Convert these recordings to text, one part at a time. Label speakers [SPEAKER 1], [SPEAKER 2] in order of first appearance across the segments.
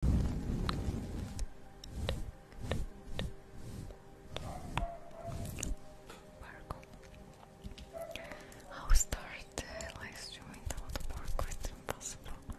[SPEAKER 1] Parkour. i start uh, live streaming without it's impossible.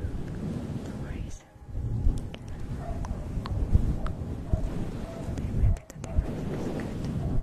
[SPEAKER 1] No worries. maybe the difference is good.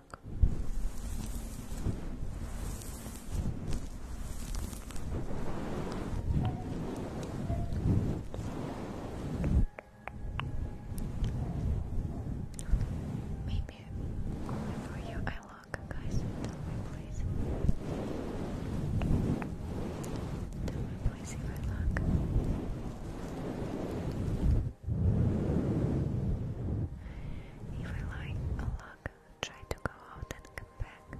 [SPEAKER 1] Maybe before you I look, guys, tell me please. Tell me please if look. If I like a luck, try to go out and come back.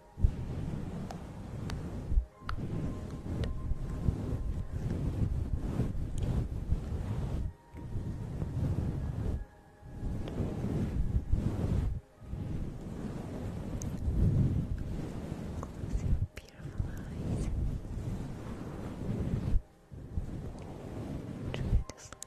[SPEAKER 1] Close your beautiful eyes. Try to sleep.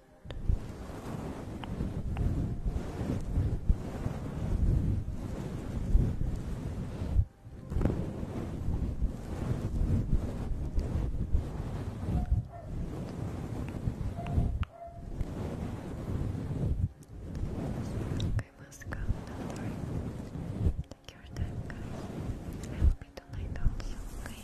[SPEAKER 1] Okay, let's go. Take your time, I will be tonight also, okay?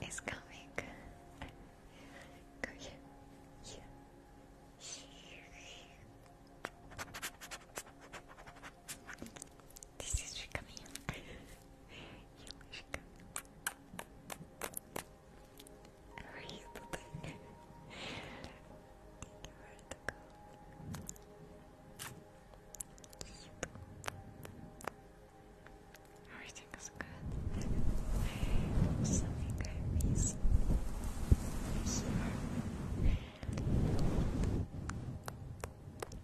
[SPEAKER 1] It's coming. Go here. This is Shikami. How are you today? Thank you for the call. Everything is good. Something I miss.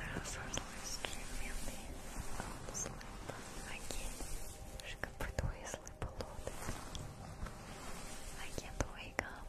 [SPEAKER 1] After a short live stream, you'll be all asleep again. Шика притої слипа лоти. I can't wake up.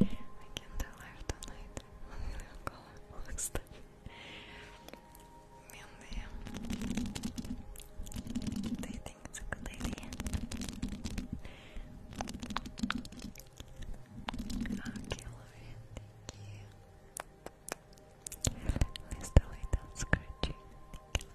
[SPEAKER 1] I can do live tonight. One million color looks Mindy, do you think it's a good idea? Okay, Lauren, thank you. Let's delete that scratching. Thank you,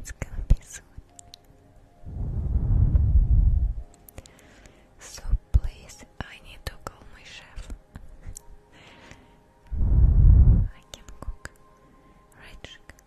[SPEAKER 1] It's gonna be soon. So please, I need to call my chef. I can cook, right? Chicken?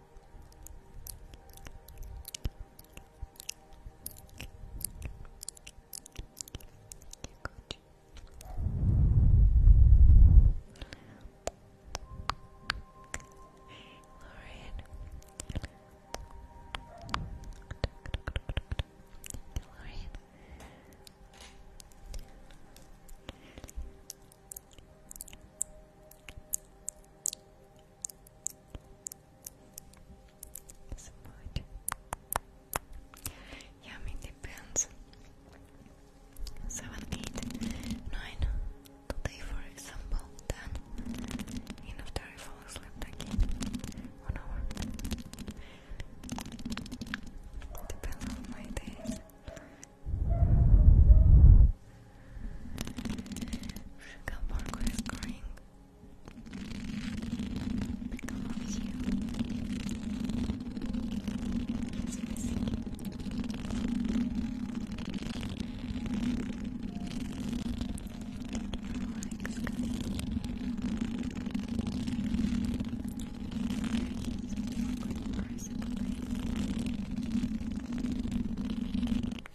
[SPEAKER 1] Lauren. Support. Yeah, I depends. Seven, eight, nine. Today, for example, ten. And after I fall asleep again, one hour. Depends on my days. Sugar Parker is crying because of you. He's missing you. Relax, Good person, Oh, Lauren.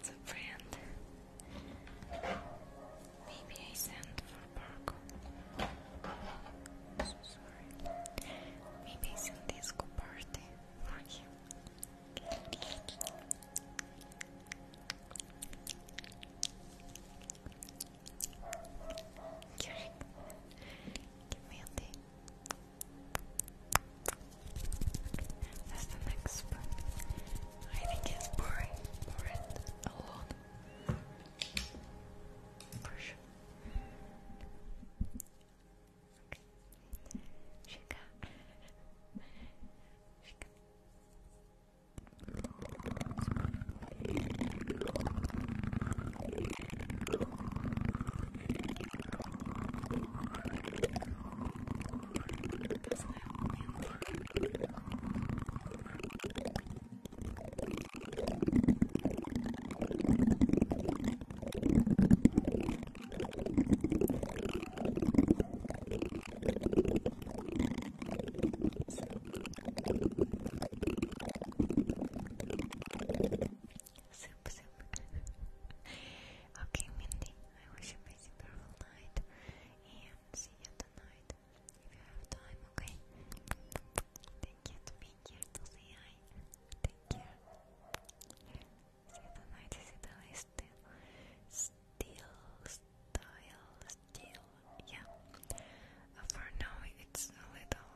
[SPEAKER 1] it's a friend. Maybe I sent for Barco. Maybe I sent disco party for him. Give me that's the next one. I think it's boring. Boring a lot. For sure. Shika. That's my only Soup, soup. okay, Mindy. I wish you a beautiful night and see you tonight if you have time, okay? Thank you to being see I. Take See you tonight, see still, still, still, yeah. Uh, for now, it's a little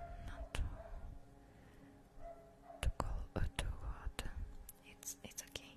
[SPEAKER 1] uh, not too, cold, uh, too hot. It's it's okay.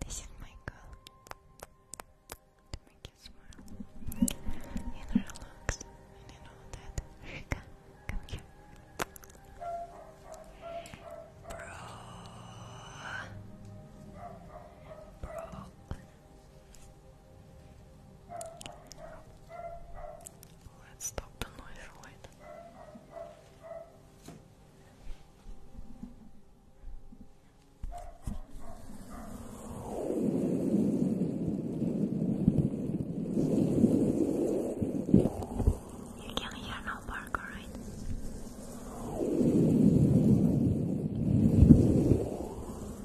[SPEAKER 1] This is my girl. to make you smile and relax, and you know that. Rika, come here, bro, bro. Let's stop the noise light. You can hear no bark, right?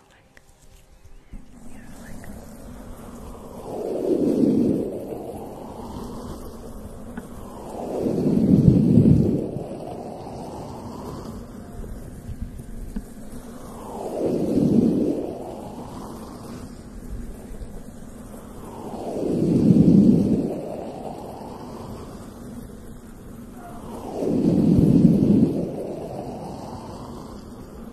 [SPEAKER 1] feel like you know, like Good.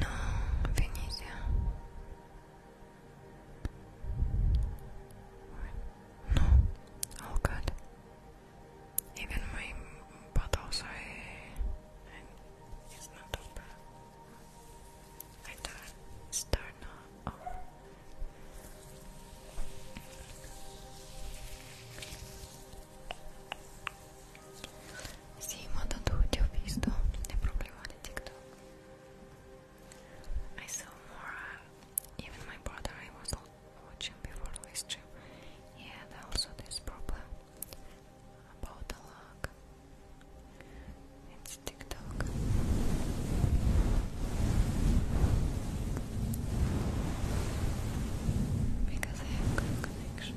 [SPEAKER 1] No, Venetia. No. Oh god. Even my bottles eh, I it's not open. I turn start now oh. Sì, ma da tutti ho visto il problema TikTok. I saw more, uh, even my brother I was watching before the stream. He had also this problem about the luck. It's TikTok. Because I have good connection.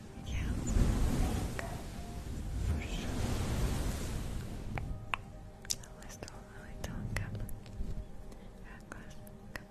[SPEAKER 1] Yeah, for sure. Unless the really don't come. Come.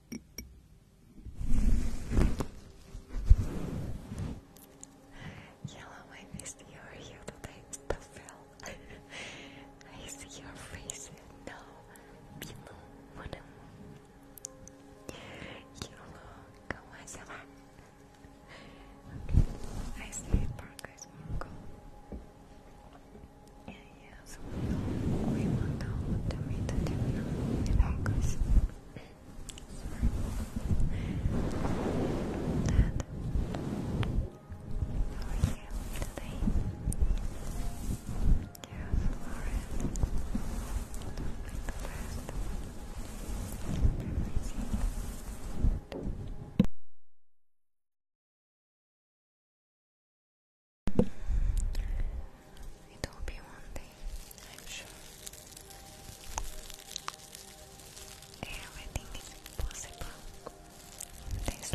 [SPEAKER 1] Hello, I missed you are here today, I see your face now below what Hello, konnichiwa. Okay, I see Parker Yeah, yeah, so we we want to meet the terminal in Dad, how you today? Yes, alright. the best. Everything. It will be one day, I'm sure. Everything is possible in this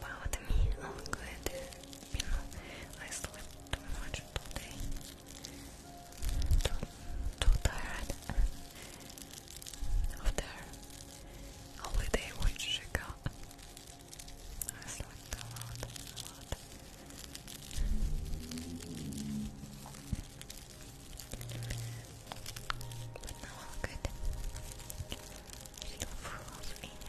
[SPEAKER 1] about me, all good. You I slept too much today. Too, tired after holiday which I got. I slept a lot, a lot. But now good. Still full energy.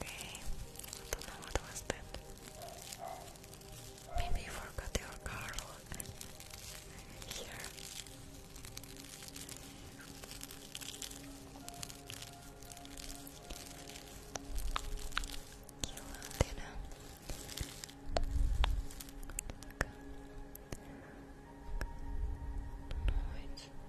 [SPEAKER 1] Okay, don't know what was Maybe you forgot your Carl here. You Dina. No,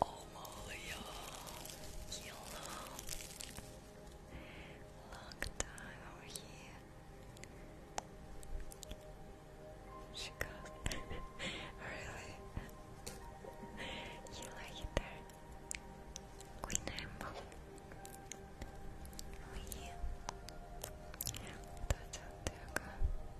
[SPEAKER 1] Olaya Yellow. Long time over here. She got really You like it there? Queen Rainbow. That's how they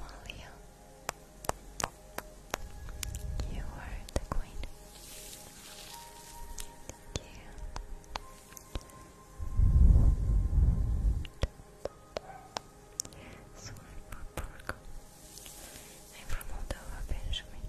[SPEAKER 1] Amalia, you are the queen. Thank you. Sorry for Porco. I'm from Moldova, Benjamin.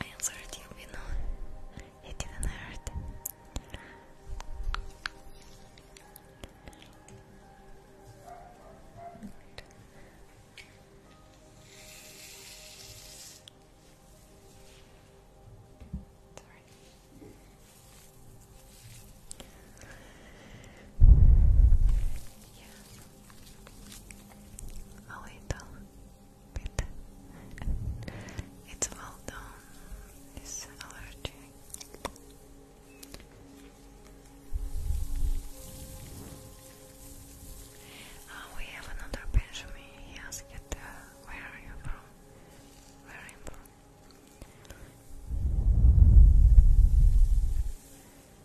[SPEAKER 1] I answered you, you It didn't hurt. Sorry. Yes a little bit. it's well done, um, this allergy. Uh, we have another Benjamin. He asked, uh, Where are you from? Where am I from?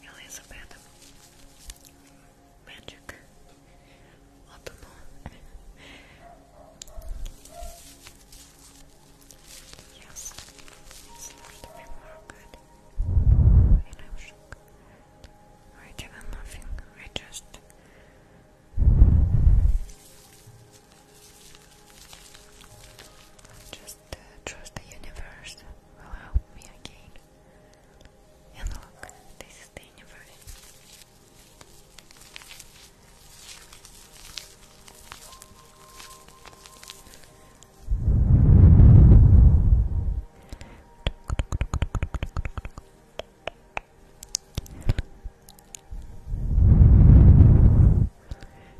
[SPEAKER 1] Elizabeth Magic Ottoman Yes, it's not very good and i I did nothing. I just just uh, trust the universe will help me again. And look, this is the universe.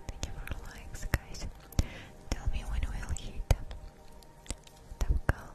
[SPEAKER 1] Thank you for likes, guys. Tell me when we'll hit the goal.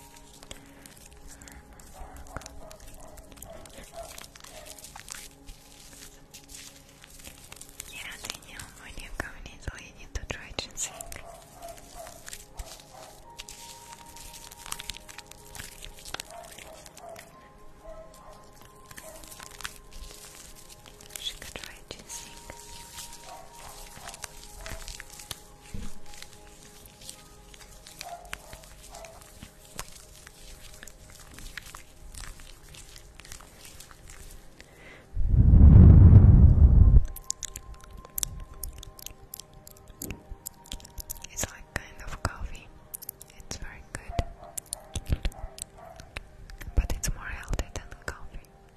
[SPEAKER 1] Nie raczej nie mam wojny w kamieniu, to je nie to człowieczyncy. She could try to sing. It's like kind of coffee. It's very good. But it's more healthy than coffee.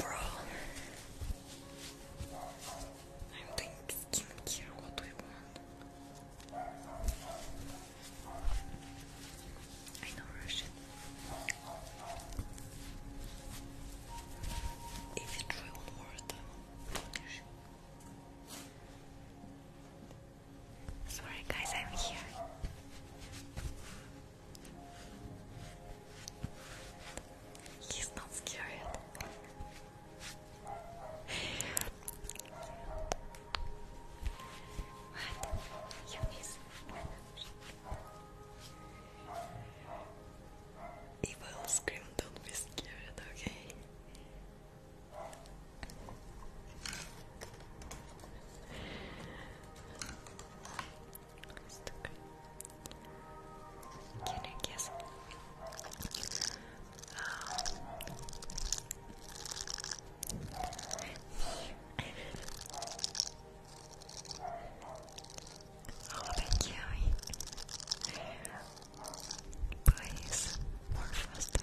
[SPEAKER 1] Bro, I'm doing skincare. What do you want? I know Russian. If you try one more time, Russian. Sorry, guys, I'm here. He's not scared. What? You miss? If I will scream, don't be scared, okay? yes. Oh, thank you. Please, more faster.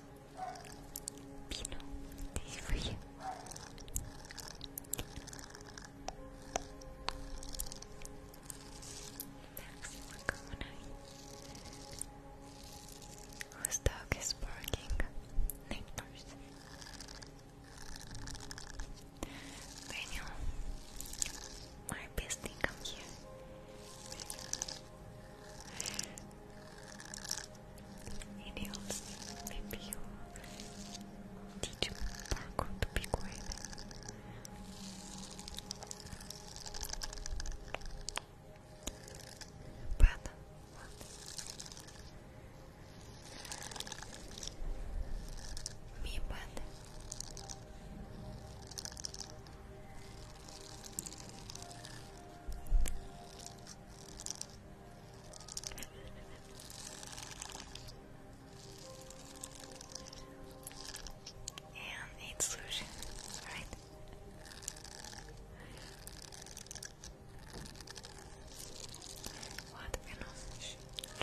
[SPEAKER 1] Pino, this is for you. Next, Makoni. Whose dog is barking? Nectar's. Daniel, my bestie, come here. Ele bebeu de um barco do picoeira. Bata, bata. Me bata and need solution, right? What venom I try?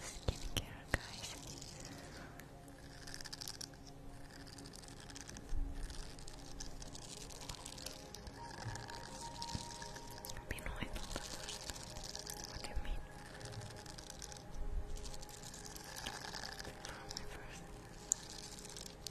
[SPEAKER 1] Skincare, guys. You know, I do What do you mean?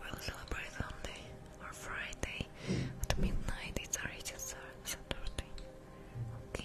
[SPEAKER 1] We'll celebrate Sunday or Friday at midnight. It's already Saturday. Okay.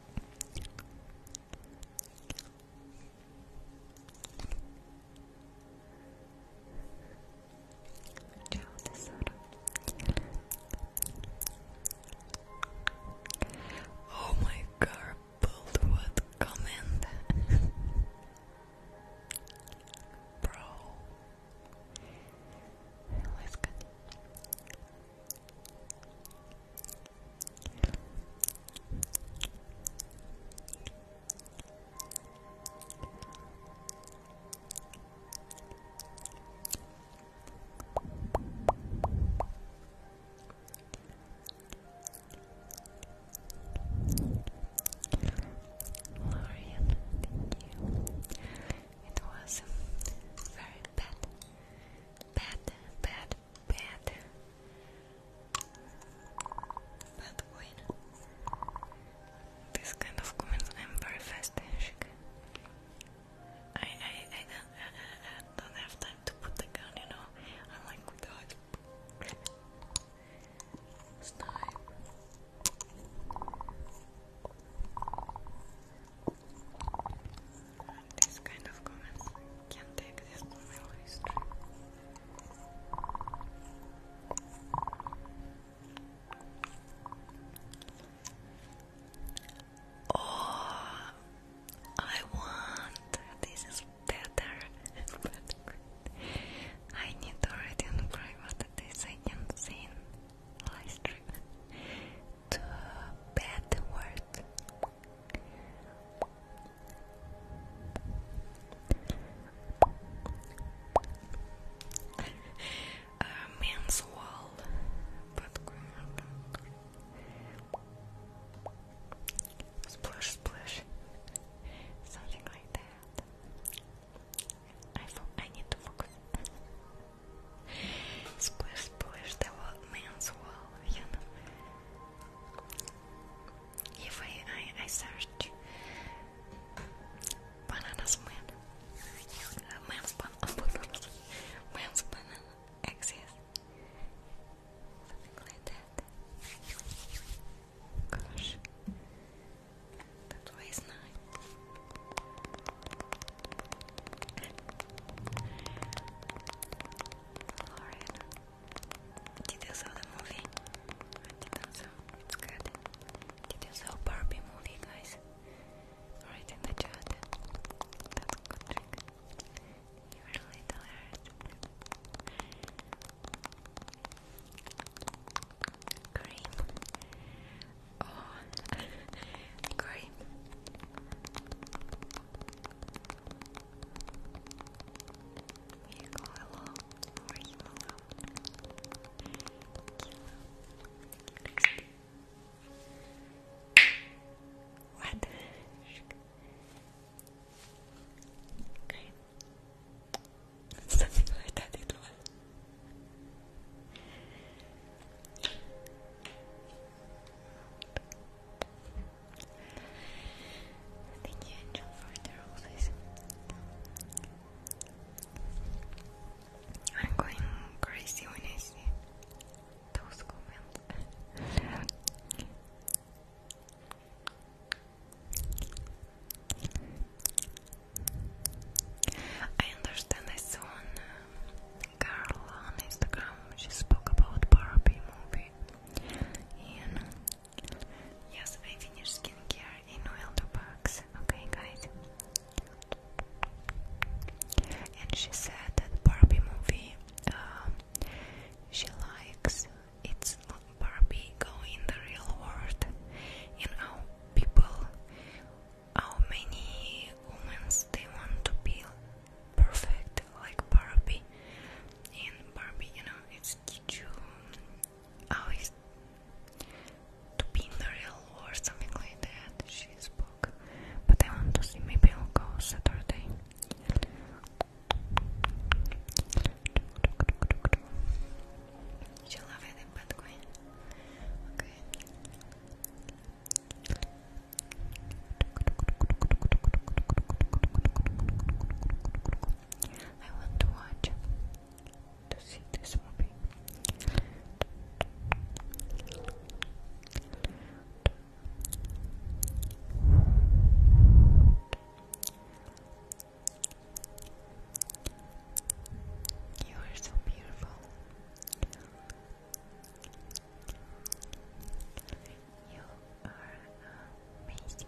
[SPEAKER 1] Ciao tesoro Oh my god, Boldwood comment Bro Let's continue Lorian, thank you. It was very bad bad, bad, bad, bad win. This kind of comments, I'm very fast. I, I, I don't, have time to put the gun, you know. I'm like without snipe. These kind Oh, I want. This is better. I need to write in private this I can see in live stream to a bad word. A wall, but splash, splash, something like that. I need to focus. Squash-splash the man's wall, you know. If I, I, I search bananas man, man's ban man's banana exists, something like that. Gosh, that was nice. Lauren, did you the movie? I did good. Did you Barbie movie, guys? Write the chat. That's good You're a little hurt. Cream. Oh, cream. You you What? okay. Something like that it was. Thank you, I'm going crazy when I see those comments. I understand I saw girl on Instagram. She spoke about Barbie movie. And yes, I finished skincare in oil box. Okay, guys. And she said that Barbie movie. Um, she likes it's not Barbie going in the real world and how people how many women they want to be perfect like Barbie. In Barbie, you know, it's you always to be in the real or something like that. She spoke, but I want to see. Maybe I'll go Saturday. She love it in Okay. I want to watch to see this movie. You are so beautiful. You are amazing.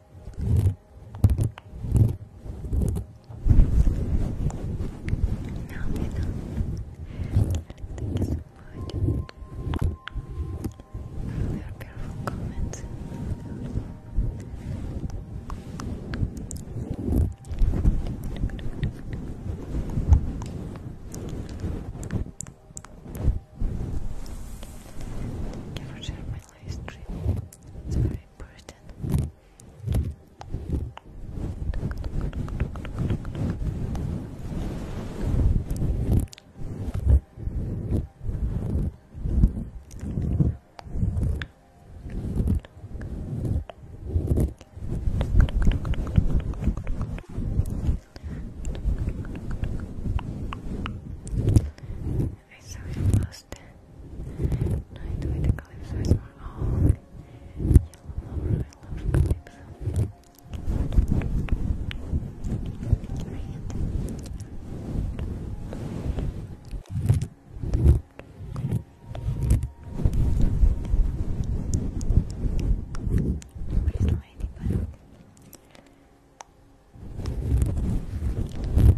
[SPEAKER 1] Now we Thank you so much for your beautiful comments. Thank you for my live important. I saw you last night with Calypso. It's more all yellow flower. I love Calypso. Where's the ladybug?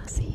[SPEAKER 1] I'll see you.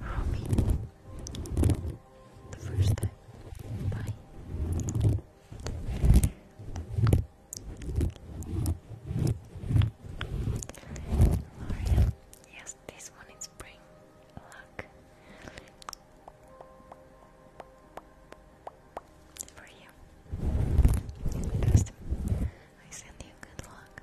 [SPEAKER 1] Romy, the first time. Bye. L'Oreal, yes, this one is spring luck for you. Custom, I send you good luck.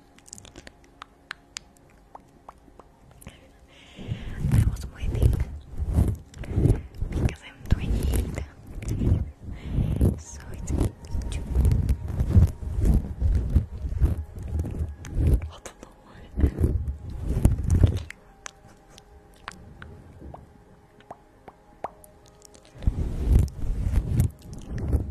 [SPEAKER 1] I was waiting because I'm 28 so it's what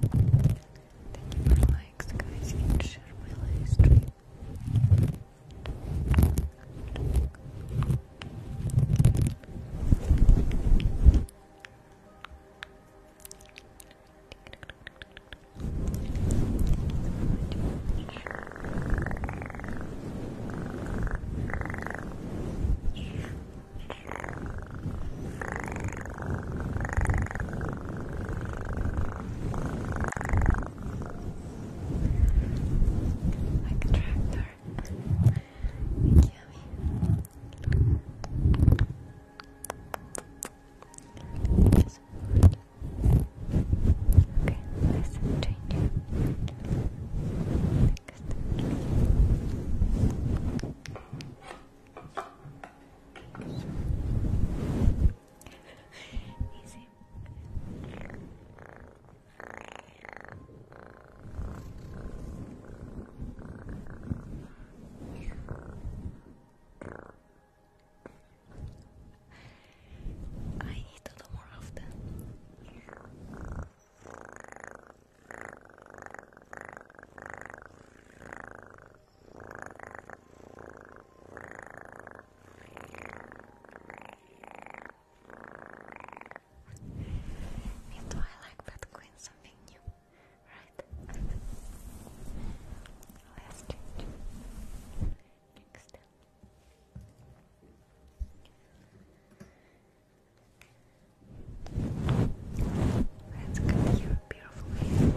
[SPEAKER 1] Thank you for likes, guys. You can share my live stream. Thank you like a tractor. It's yummy. Yes. Okay, let's change it. Next. Easy. I need to do more often. Me too, I like that queen something new, right? let next Let's continue beautifully. Good.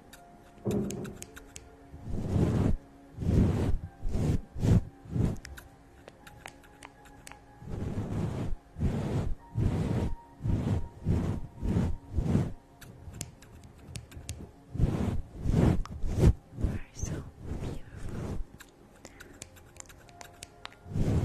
[SPEAKER 1] You are so beautiful. Thank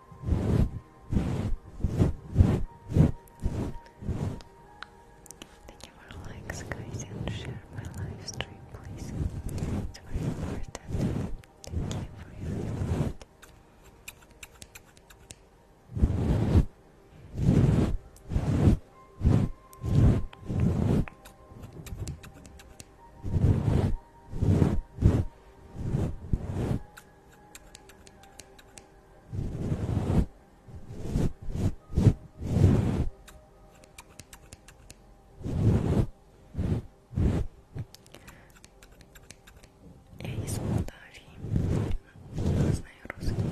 [SPEAKER 1] Thank you for likes, guys, and share my live stream, please. It's very important. Thank you for your support. Я из Молдавии. Я знаю русский.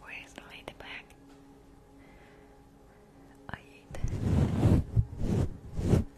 [SPEAKER 1] Where is the ladybug? I ate.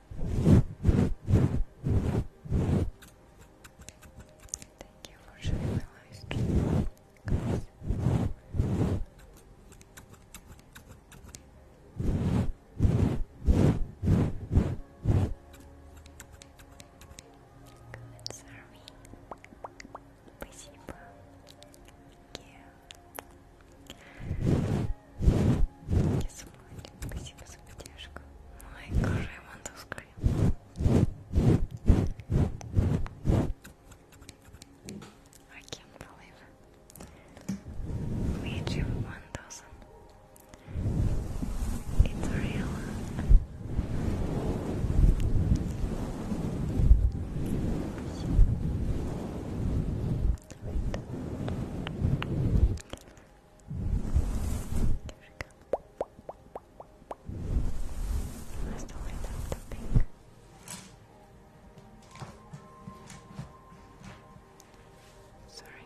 [SPEAKER 1] Thank you for sharing my life. Good, sorry. Спасибо. Я забыла. Спасибо за поддержку. Ой, кожа ему тусклая. I can't believe it. We achieved 1000. It's real. Here she the pink. Sorry.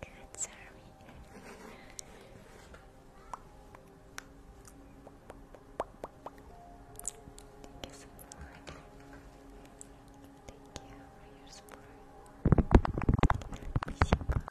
[SPEAKER 1] Good, sorry. Thank you so much. Thank you for your support.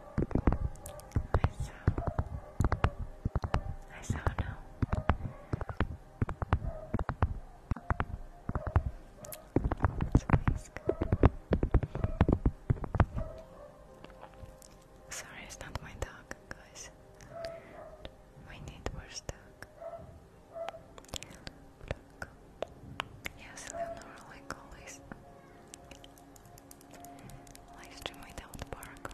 [SPEAKER 1] I saw. I saw no. Sorry, it's not my dog, guys. We need more stock. Look. Yes, Leonora, always. Live stream without Barco. Right.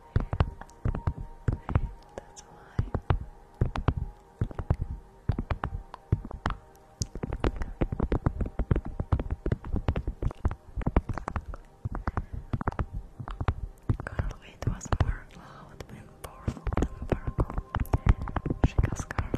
[SPEAKER 1] That's a was more loud and powerful than purple. She got scarlet.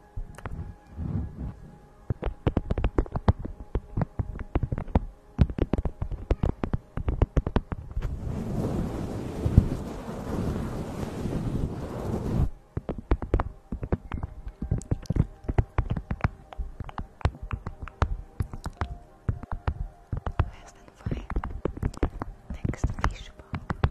[SPEAKER 1] Fast and fine. Next fishbowl. Okay.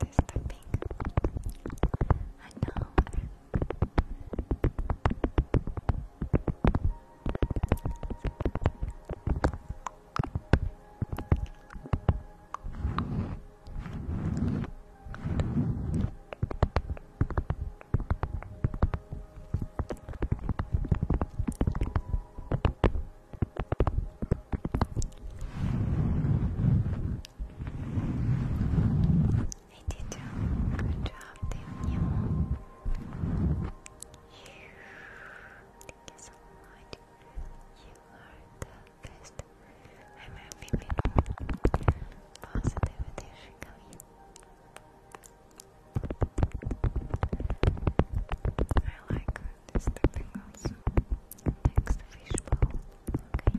[SPEAKER 1] They're stopping. I know. I did a good job, did you? Thank you are the best. I'm happy positivity coming. I like this typing also. Next fishbowl. Okay.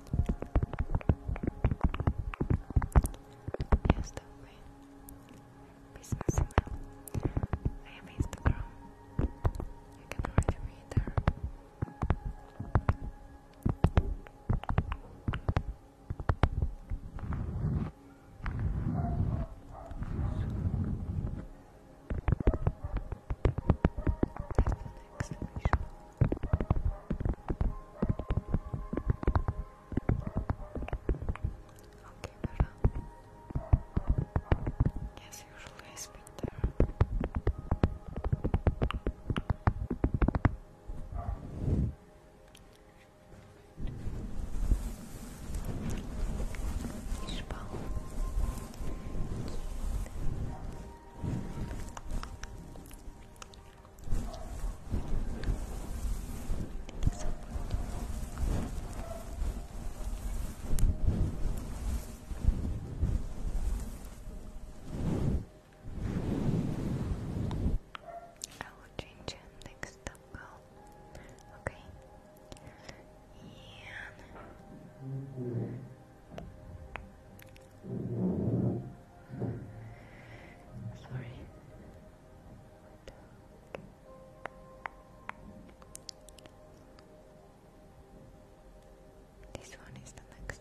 [SPEAKER 1] Yes, that way. Business email. I have Instagram. You can write me there. Okay, better. Yes, usually I speak there. Espalha. Quinta. I will change him next Okay. Yeah. Sorry. This one is the next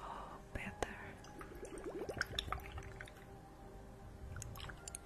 [SPEAKER 1] Oh, better.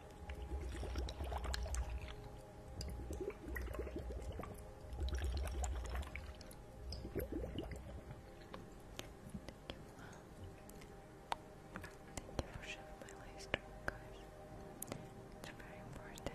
[SPEAKER 1] Thank you for sharing my live stream, guys. It's very important.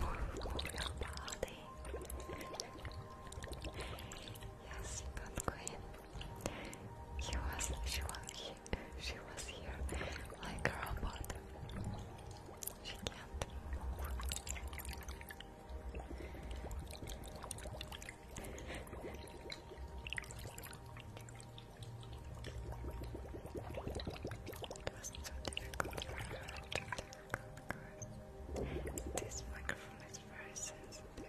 [SPEAKER 1] Move body. Yes, good queen. He was, she was, she was here like a robot. She can't it wasn't so difficult for her to because this microphone is very sensitive.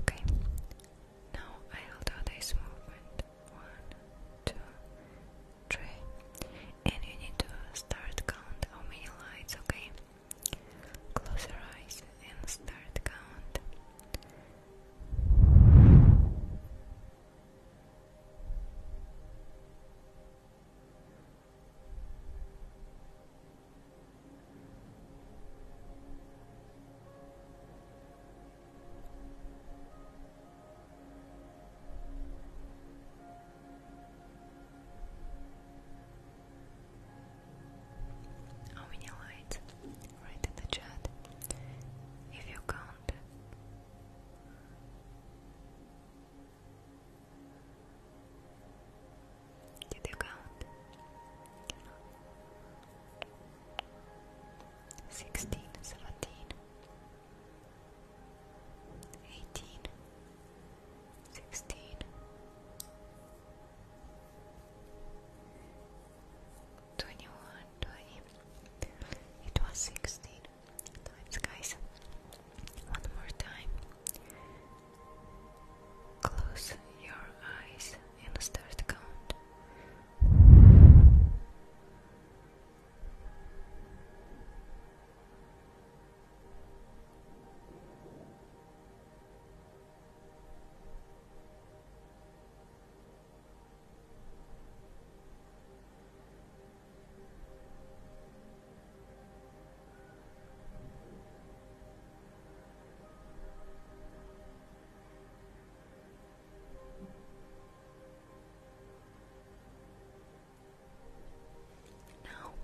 [SPEAKER 1] Okay, now I'll do this movement one, two, three, and you need to start count how many lights, okay? Close your eyes and start count. How oh, many lights? Write in the chat if you count. You do count. Sixteen, seventeen, eighteen, sixteen, twenty-one, twenty. It was sixteen times, guys. One more time. Close your eyes and start to count. No.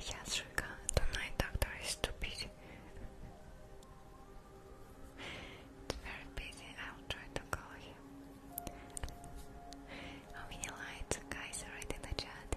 [SPEAKER 1] Yasrika, the night doctor is too busy. it's very busy. I'll try to call him. How many lights, guys, already in the chat?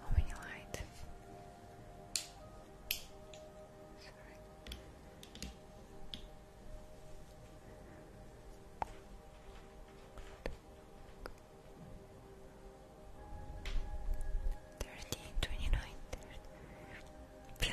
[SPEAKER 1] How many light? Sorry. Thirty, twenty nine, thirty.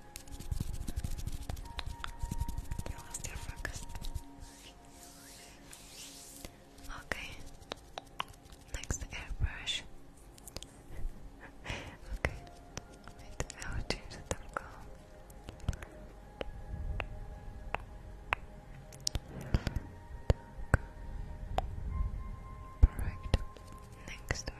[SPEAKER 1] You lost your focus. Okay. Next airbrush. okay. Wait, I change the color. Perfect. Next we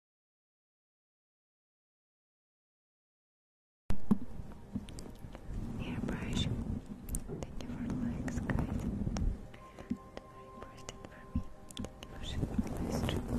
[SPEAKER 1] Airbrush. Thank you for the likes, guys. It's very important for me. Thank you for the live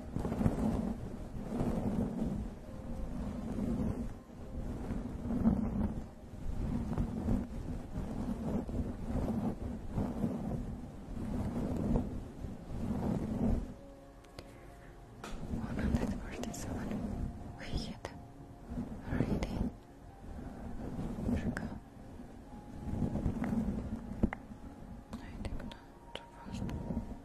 [SPEAKER 1] 147 выйдет Рейди Жига I think not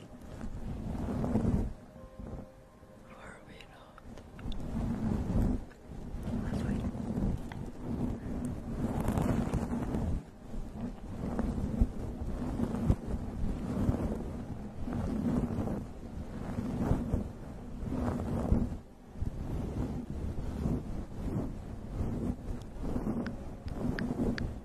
[SPEAKER 1] Are we not? Lovely. Good.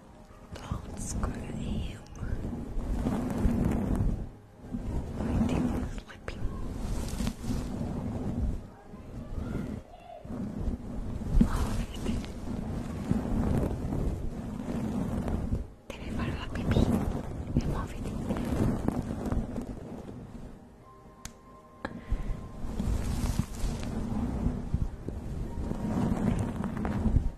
[SPEAKER 1] Don't scream. My team is sleeping. Love it.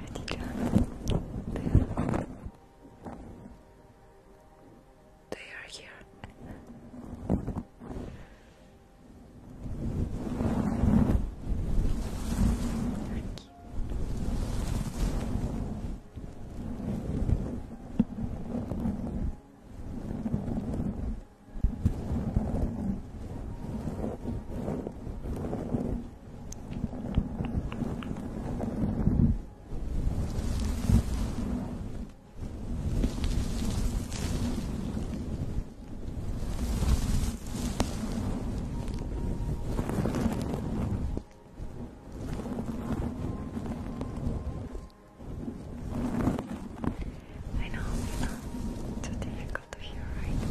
[SPEAKER 1] Artijan. They are, they are here. I know it's a difficult difficult to hear, right?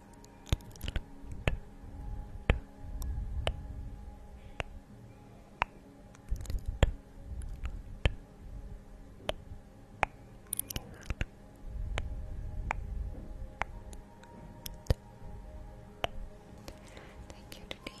[SPEAKER 1] Thank you today.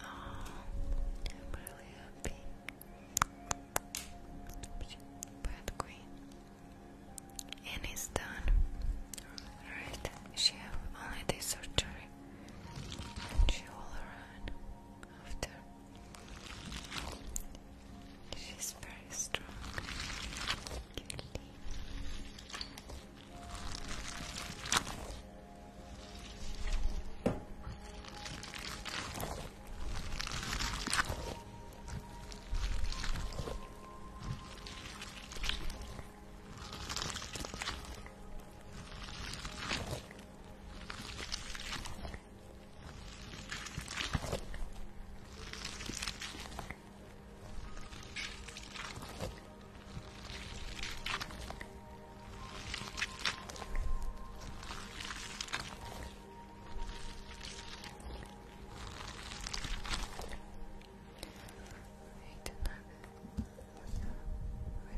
[SPEAKER 1] I'm really happy. But Queen. And it's done. Alright, she have only this surgery. she will run after She's very strong. Really.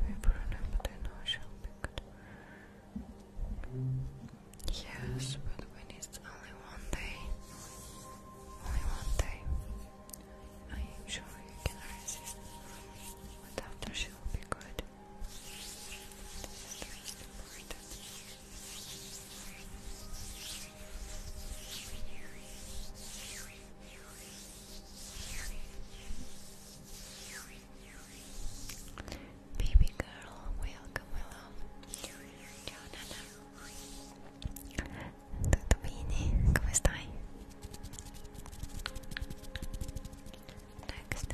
[SPEAKER 1] Maybe for another dinner shall be good. Yes, but when it's only one day, only one day, I am sure you can resist. But after she will be good. Baby girl, welcome, my love. Ciao, Nana. Tutto bene? Come stai? Next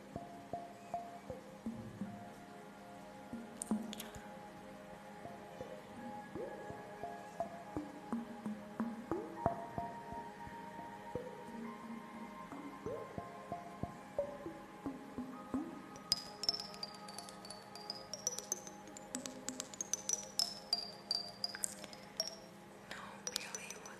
[SPEAKER 1] No, really, what?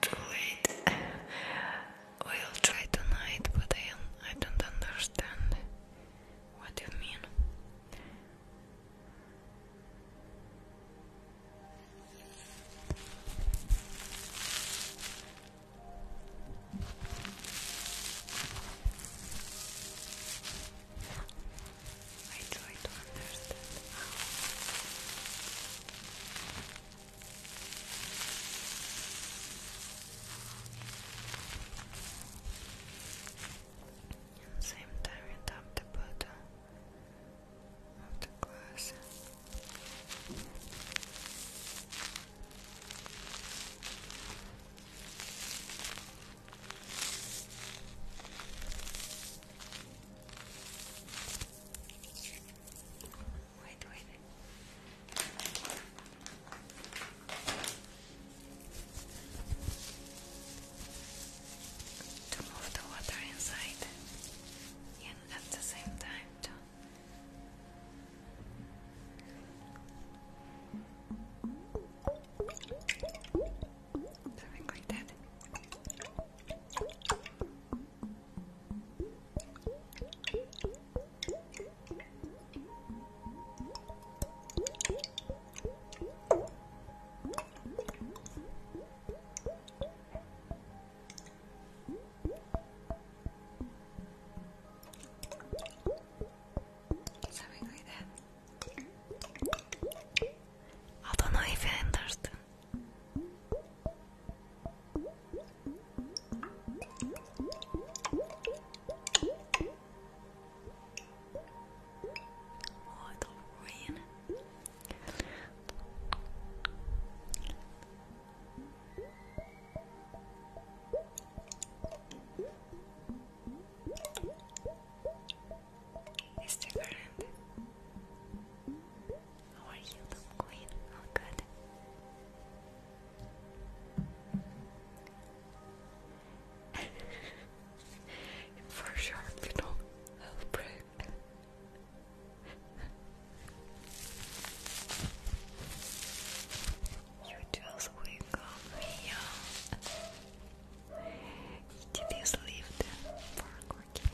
[SPEAKER 1] Too late. we'll try tonight, but I, I don't understand what you mean. I try to understand how and same time and up the bottom of the glass Wait, wait. To move the water inside and at the same time to Something like that. Something like that. I don't know if I understood. Oh, it'll rain. Mr. Garland, are you, little queen? All good. For sure, little health break. You just wake up here. It is lived for cooking.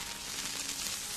[SPEAKER 1] Thank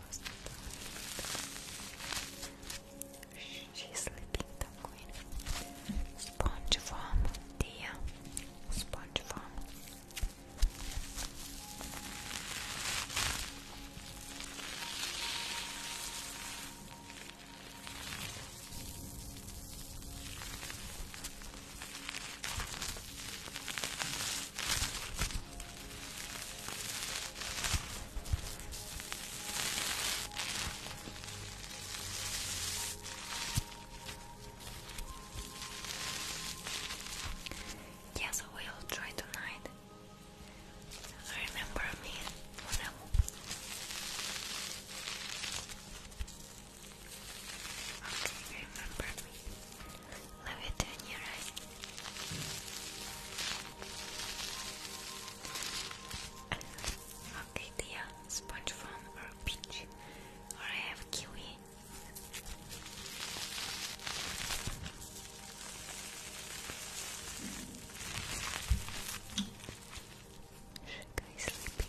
[SPEAKER 1] She's sleeping, the queen. Sponge farm, dear. Sponge Yes, I will try tonight. Remember me, Monel. Okay, remember me. Love it when you write. okay, dear. Sponge foam or peach. Or I have kiwi. Should go sleeping.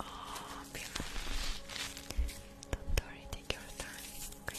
[SPEAKER 1] Oh, beautiful. Don't worry, take your time. Okay.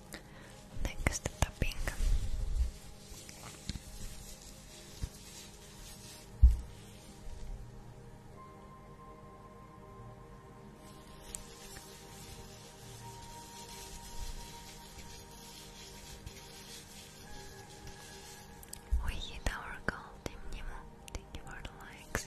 [SPEAKER 1] We hit our goal, Team Thank you for the likes.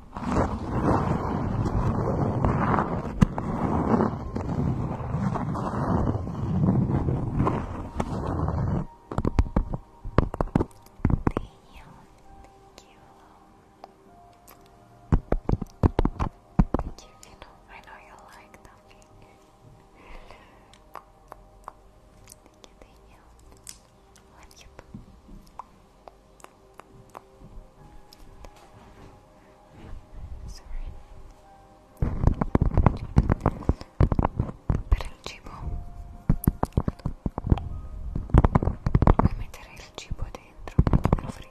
[SPEAKER 1] Thank you, Vino. I know you like dumping. thank you, thank you. Love you. Sorry. Per il cibo puoi mettere il cibo dentro nel frigo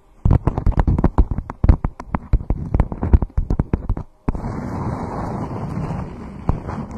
[SPEAKER 1] I did already. Cup, cup.